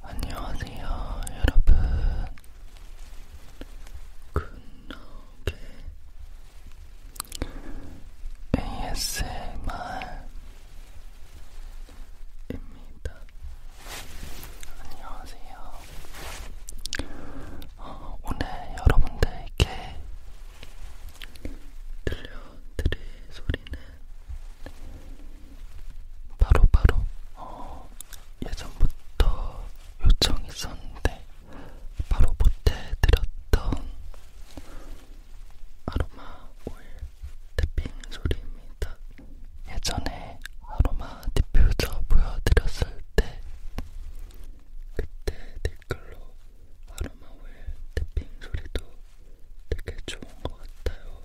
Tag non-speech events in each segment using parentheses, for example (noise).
안녕하세요, 여러분. 굿노게 ASMR입니다. 안녕하세요. 어, 오늘 여러분들께 들려드릴 소리는 바로바로 어, 예전부터 요청이 있었는데 바로 보태드렸던 아로마 오일 탭핑 소리입니다. 예전에 아로마 디퓨저 보여드렸을 때 그때 댓글로 아로마 오일 탭핑 소리도 되게 좋은 것 같아요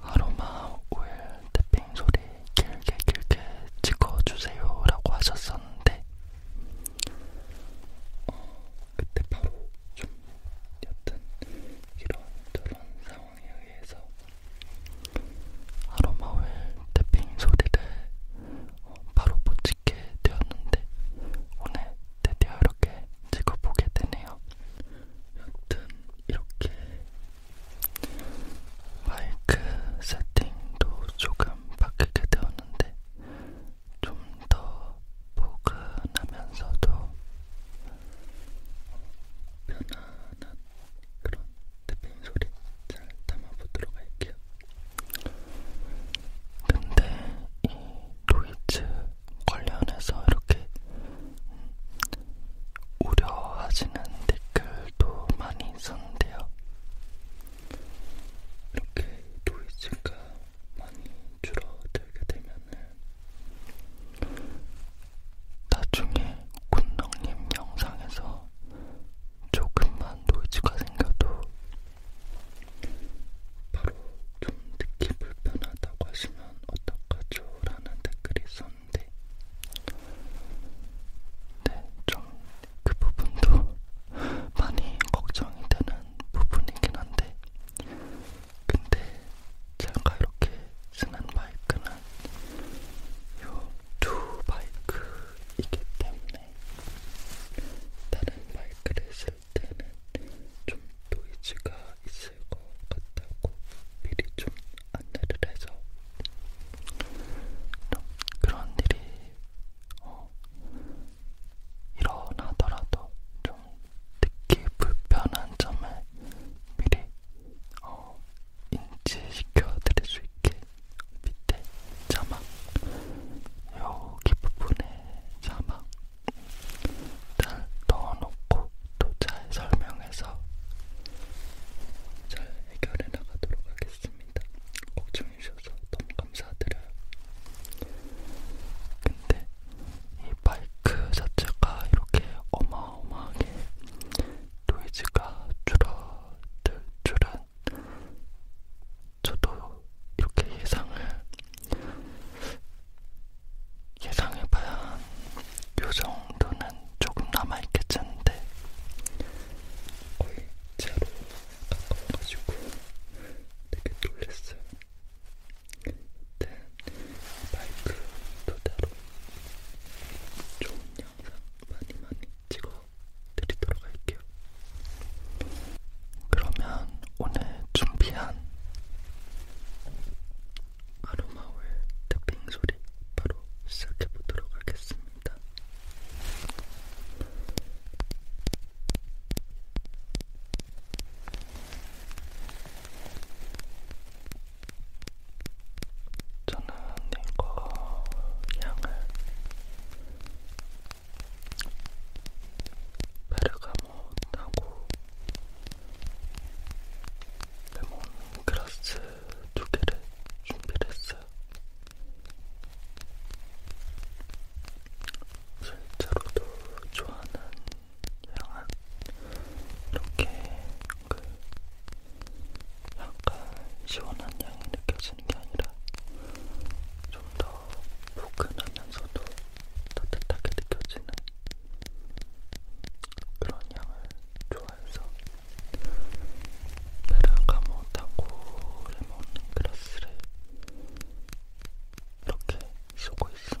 아로마 오일 탭핑 소리 길게 길게 찍어주세요 라고 하셨었는데 어, 그때 바로 좀 여튼 이런 저런 상황에 의해서 아로마 오일 탭핑 소리를 어, 바로 못 찍게 되었는데 오늘 드디어 이렇게 찍어보게 되네요. 여튼 이렇게 마이크 세팅도 조금 바뀌게 되었는데 좀 더 포근하면서도 편안한 그런 탭핑 소리 잘 담아보도록 할게요. 근데 이 노이즈 관련해서 이렇게 우려하시는 댓글도 많이 있었는데요. 이렇게 노이즈가 많이 줄어들게 되면은 나중에 군농님 영상에서 조금만 노이즈가 생겨도 바로 좀 듣기 불편하다고 하시면 그러면 어떡하죠? 라는 댓글이 있었는데 네, 좀그 부분도 (laughs) 많이 걱정이 되는 부분이긴 한데 근데 제가 이렇게 쓰는 마이크는 요 두 마이크이기 때문에 다른 마이크를 쓸 있을 때는 좀 노이즈가 있을 것 같다고 미리 좀 안내를 해서 좀 그런 일이 어, 일어나더라도 좀 듣기 불편한 점을 미리 어, 인지시켜 드릴 수 있게 밑에 자막 여기 부분에 자막 일단 넣어놓고 또 잘 설명해서 잘 해결해 나가도록 하겠습니다. 걱정해주셔서 너무 감사드려요. 근데 이 바이크 자체가 이렇게 어마어마하게 노이즈가 줄어들 줄은 저도 이렇게 예상을 예상해봐야 요 정도는 조금 남아있겠는데 거의 제로 가까워가지고 되게 놀랬어요. 일단 마이크 도대로 좋은 영상 많이 많이 찍어드리도록 할게요. 그러면 오늘 준비한 아로마오일 탭핑 소리 바로 시작해 보도록 하겠습니다. 저는 이거 향을 바르가모 레몬하고 레몬그라스 두 개를 준비를 했어요. 실제로도 좋아하는 향은 이렇게 그 약간 시원한 향이 느껴지는 게 아니라 좀 더 포근하면서도 따뜻하게 느껴지는 그런 향을 좋아해서 페르가모 타고 레몬 그라스를 이렇게 쓰고 있습니다.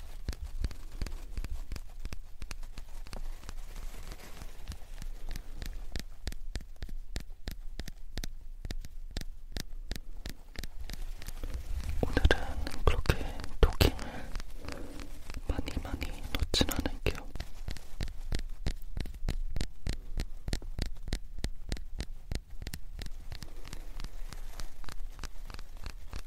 오늘은 그렇게 토킹을 많이 많이 놓진 않을게요.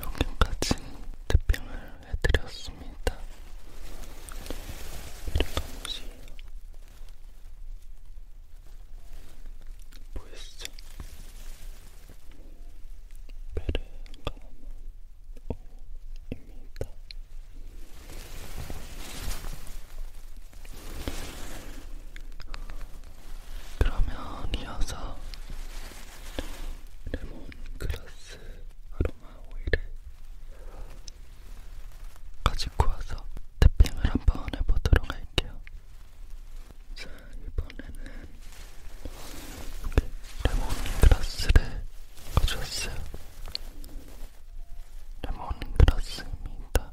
여기까지 탭핑을 해드렸습니다. 이렇게 보이시죠? 베레가모 입니다. 그러면 이어서 레몬그라스 아로마 오일을 가지고 와서 태핑을 한번 해보도록 할게요. 자, 이번에는 레몬그라스를 가져왔어요. 레몬그라스입니다.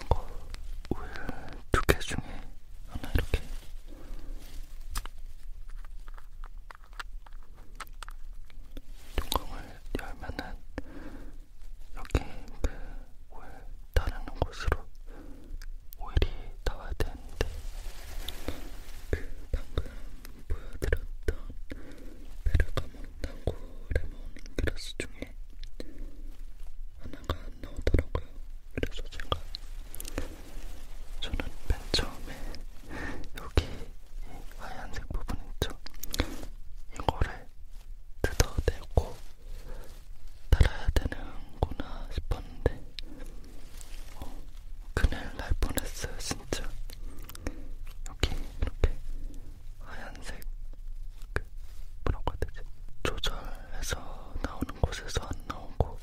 이거 우두개 중에 하나 이렇게 뚜껑을 열면은 여기 그울 따르는 곳으로 오일이 나와야 되는데 그 방금 보여드렸던 베르가몬 당구 레몬 그라스 중에 하나가 안 나오더라고요. 그래서 제가 저는 맨 처음에 여기 이 하얀색 부분 있죠? 이거를 뜯어내고 달아야 되는구나 싶었는데 어, 큰일 날 뻔했어요 진짜 여기 이렇게 하얀색 그 뭐라고 해야 되지? 조절해서 나오는 곳에서 안 나오고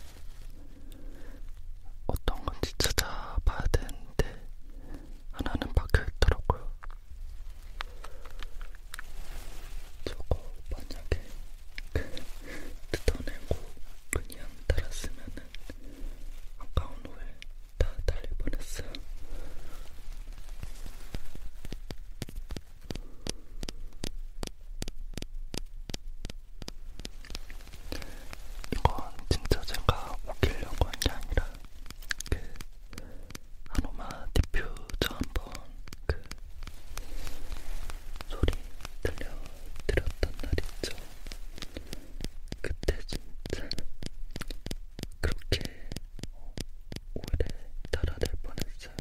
어떤 건지 찾아봐야 되는데 하나는 박혀있더라고요 저거 만약에 뜯어내고 그냥 달았으면은 아까운 후에 다 달려버렸어. 이건 진짜 제가 웃기려고 한 게 아니라 그 아로마 디퓨저 한번 그 소리 들려드렸던 날 있죠. 그때 진짜 그렇게 오래 달아들 뻔했어요.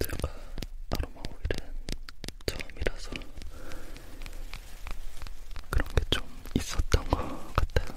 제가 아로마 오일은 처음이라서 그런 게 좀 있었던 것 같아요.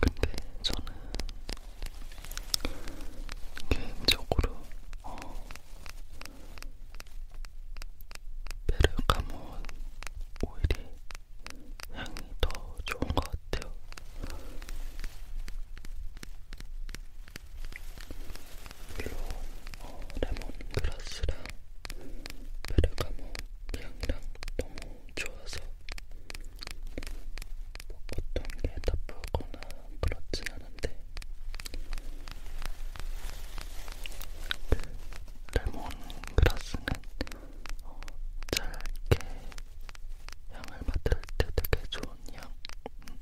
근데 저는 개인적으로 어, 베르가몬 오일이 향이 더 좋은 것 같아요. 물론 어, 레몬그라스랑 베르가모 향이랑 너무 좋아서 뭐 어떤 게 나쁘거나 그렇진 않은데 그 레몬그라스는 어, 짧게 향을 맡을 때 되게 좋은 향. 음.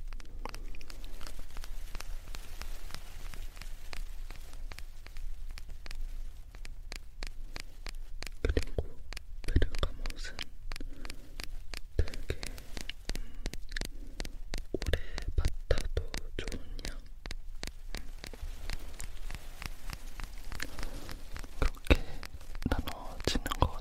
그리고 베르가못은 되게 음, 오래 맡아도 좋은 향. 음. 이렇게 나눠지는 것 같아요.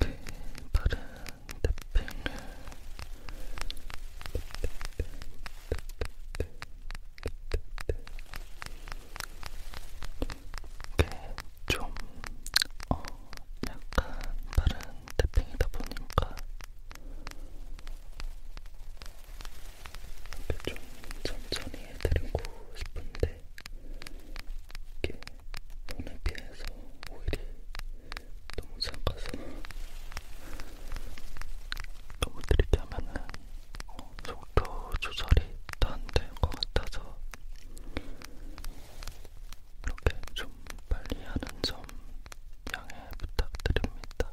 이렇게 네, 바른 태핑을 이게 좀 어, 약간 빠른 태핑이다 보니까 이렇게 좀 천천히 해드리고 싶은데 이게 몸에 비해서 오히려 너무 작아서 너무 느리게 하면은 어, 속도 조절이 다안 되는 것 같아서 이렇게 좀 빨리 하는 점 양해 부탁드립니다.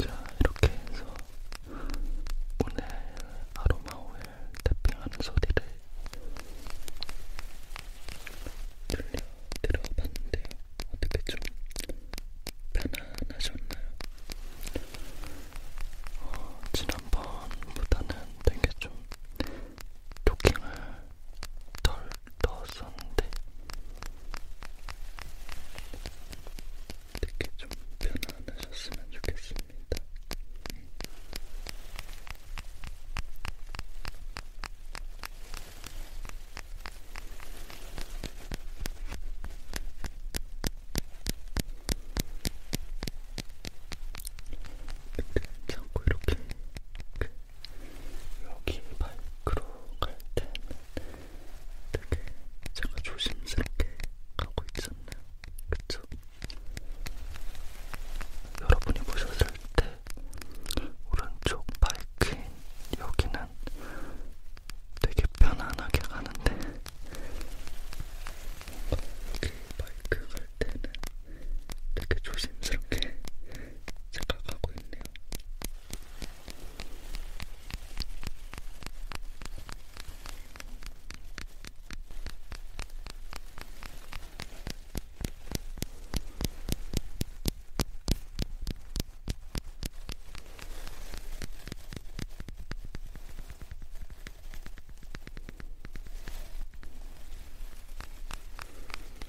자, 이렇게 해서 오늘 아로마 오일 탭핑하는 소리를 들려드려봤는데요. 어떻게 좀 편안하셨나요? 어, 지난번보다는 되게 좀 토킹을 덜 넣었었는데 되게 좀 편안하셨으면 좋겠습니다. 이렇게 참고 이렇게 그 여기 바이크로 갈 때는 되게 제가 조심스럽게 가고 있었나요? 그쵸? 여러분이 보셨을 때 오른쪽 바이크인 여기는 되게 편안하게 가는데 여기 바이크 갈 때는 되게 조심스럽게 생각하고 있네요.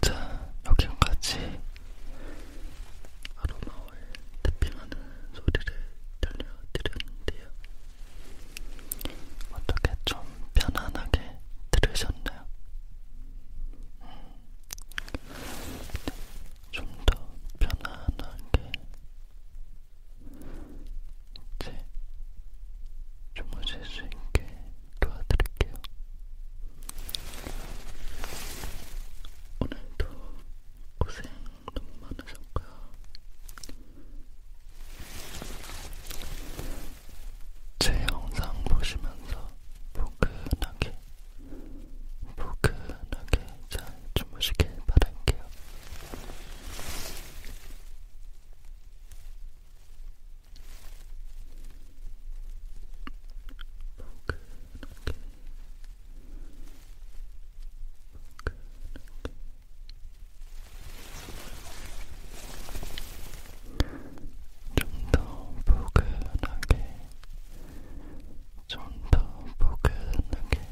자, 여기까지 아로마 오일 탭핑하는 소리를 들려드렸는데요. 어떻게 좀 편안하게 들으셨나요? 음, 좀더 편안하게 이제 주무실 수 있게 도와드릴게요. 오늘도 고생 너무 많으셨고요. 제 영상 보시면서 포근하게, 포근하게 잘 주무시길 바랄게요. 포근하게, 포근하게. 좀더 포근하게, 좀 더 포근하게.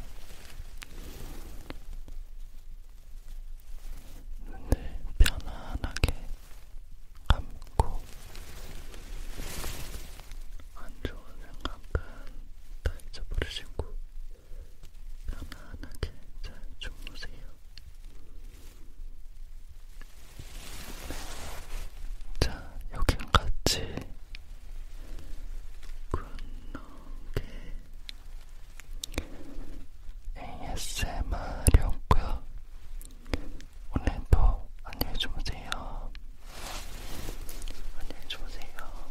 눈을 편안하게 감고 안 좋은 생각은 다 잊어버리시고 편안하게 잘 주무세요. 네. 자, 여긴 같이 굿노게 ASMR이었고요. 오늘도 안녕히 주무세요. 안녕히 주무세요.